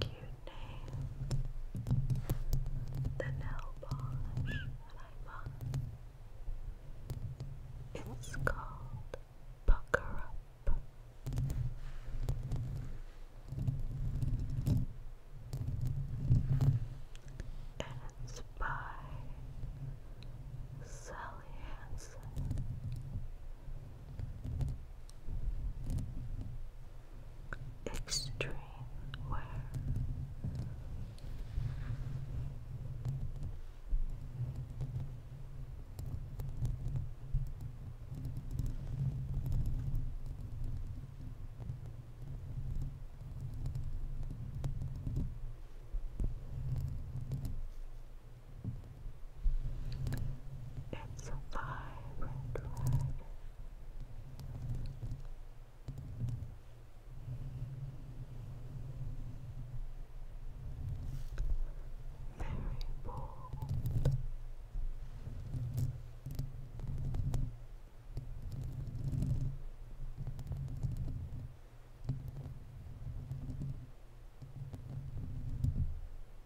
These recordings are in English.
cute name, the nail polish that I bought. It's called Pucker Up. And it's by Sally Hansen extreme wear. It's a vibrant red. Very bold.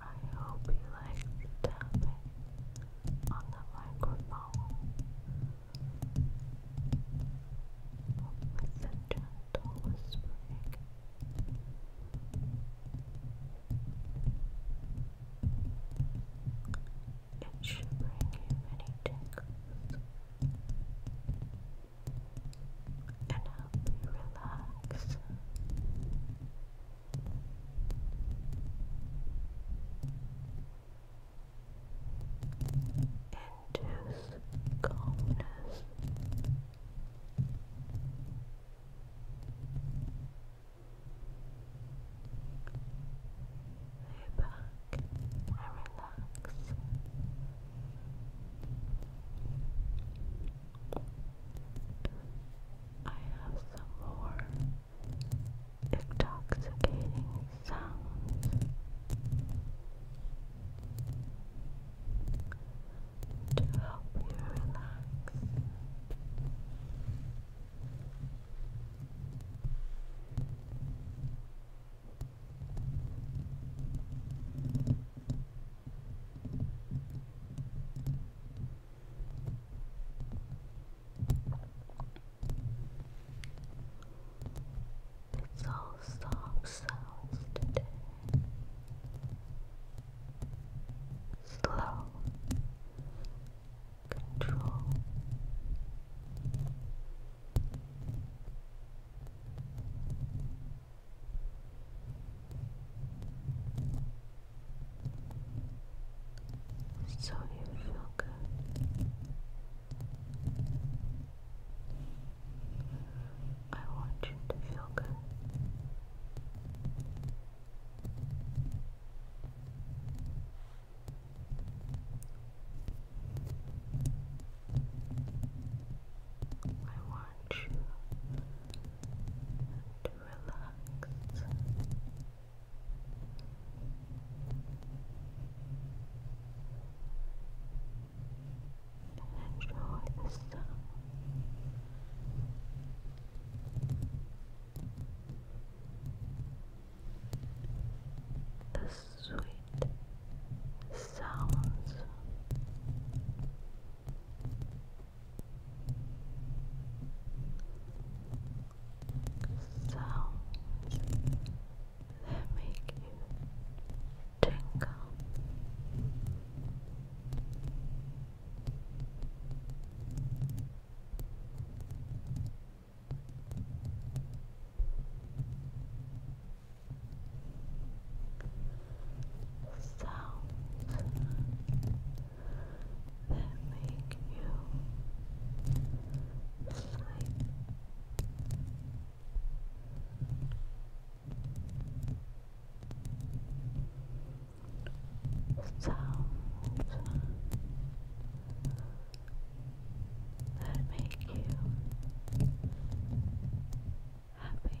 I hope you like tapping on the microphone with gentle whispering. It should bring you many tingles and help you Relax induce calmness. Lay back and relax. I have some more intoxicating sounds to help you relax. It's all soft sounds today. Slow, control so you feel good. I want you to feel good. I want you to relax enjoy the sound. The sweet sounds sounds that make you tingle. Sounds that make you sleep. Sounds that make you happy.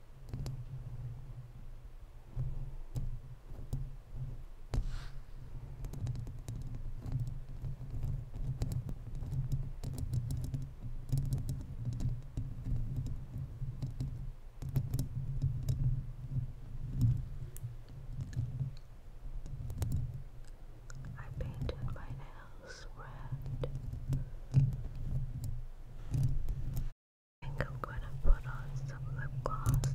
I painted my nails red. I think I'm going to put on some lip gloss.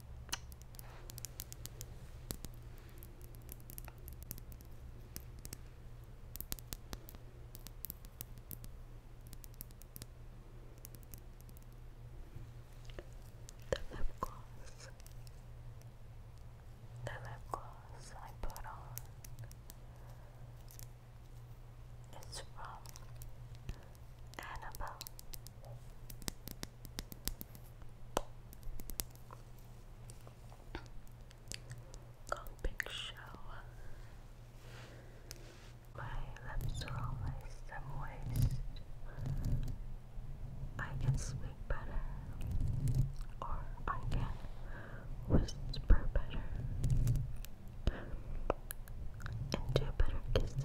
The lip gloss. The lip gloss I put on. It's from Annabelle. Comic show. My lips are always some moist. I can speak better, or I can whisper better, and do better kisses.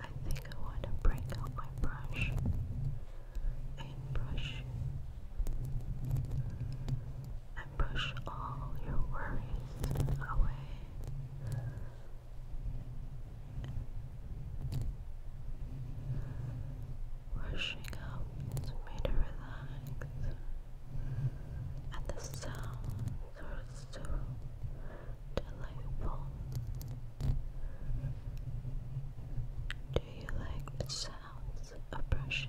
I think I want to break out my brush and brush and brush all your worries away. Rushing up to me to relax, and the sound delightful. Do you like the sounds of brushing?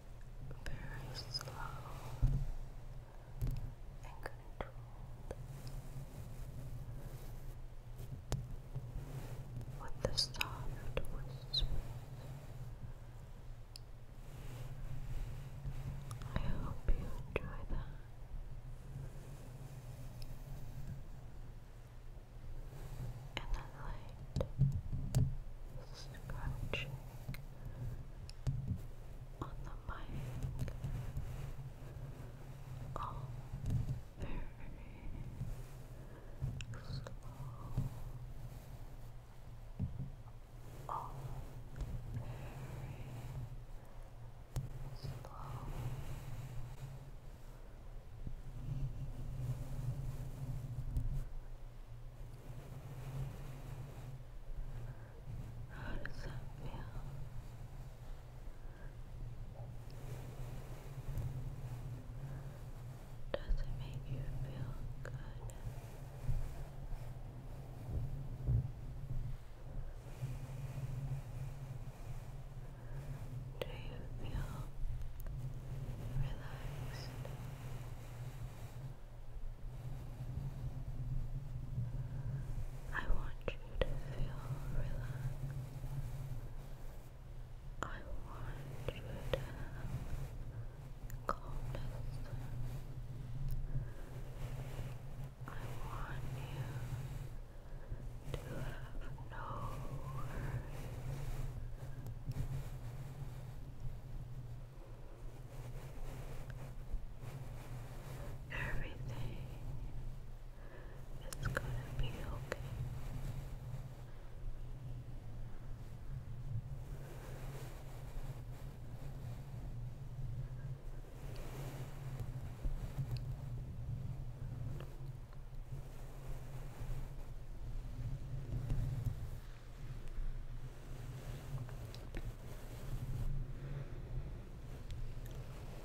very slow and controlled. With the soft whispers, I hope you enjoy that and then light scratching on the mic. All very slow. All very slow. How does that feel? Does it make you feel good? Do you feel relaxed? I want you to feel relaxed. I want you to have calmness. I want you to have no worries. Everything is gonna be okay.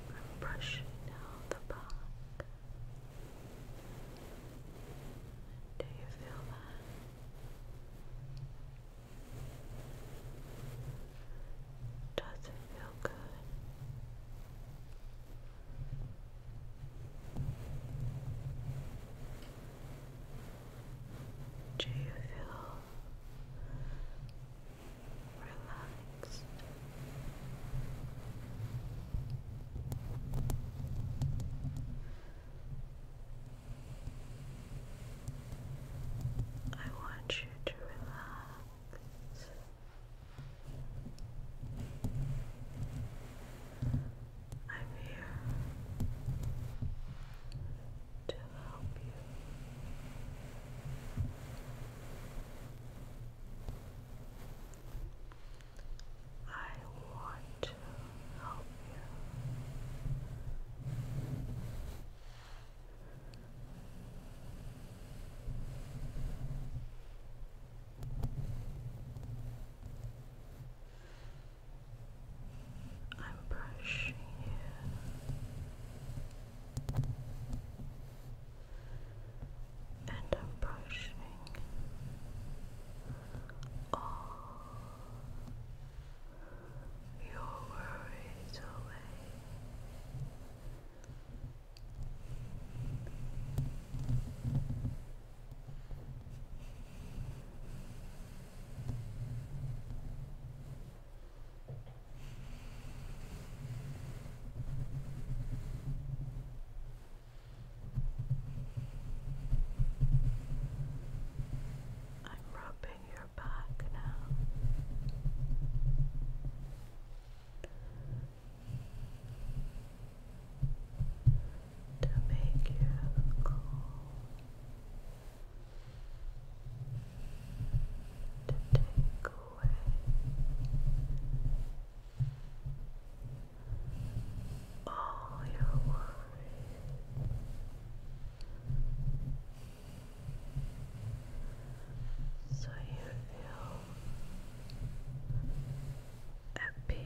I'm brushing down the back. Do you feel that? Does it feel good? Do you feel relaxed? I want you to relax. I'm here to help you. I want to help you. I'm brushing you, and I'm brushing all your worries away. I'm rubbing your back now to make you calm, to take away all your worries. So you feel at peace.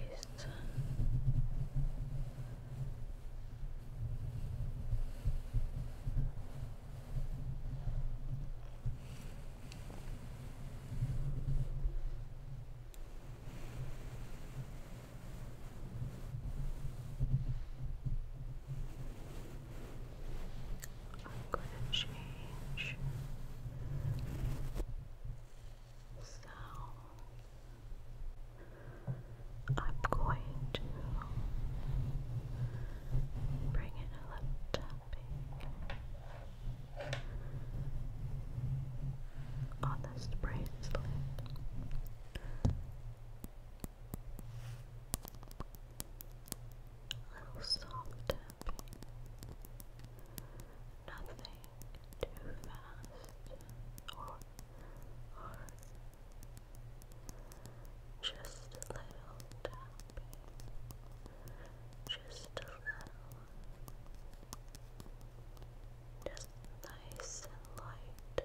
I'm going to change so I'm going to bring in a little tapping on this bracelet. A little soft nothing too fast or, or just a little just a little, just nice and light.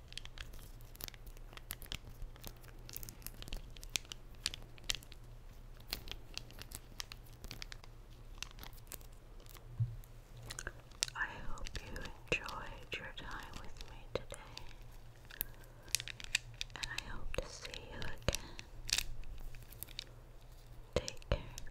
I hope you enjoyed your time with me today, and I hope to see you again. Take care.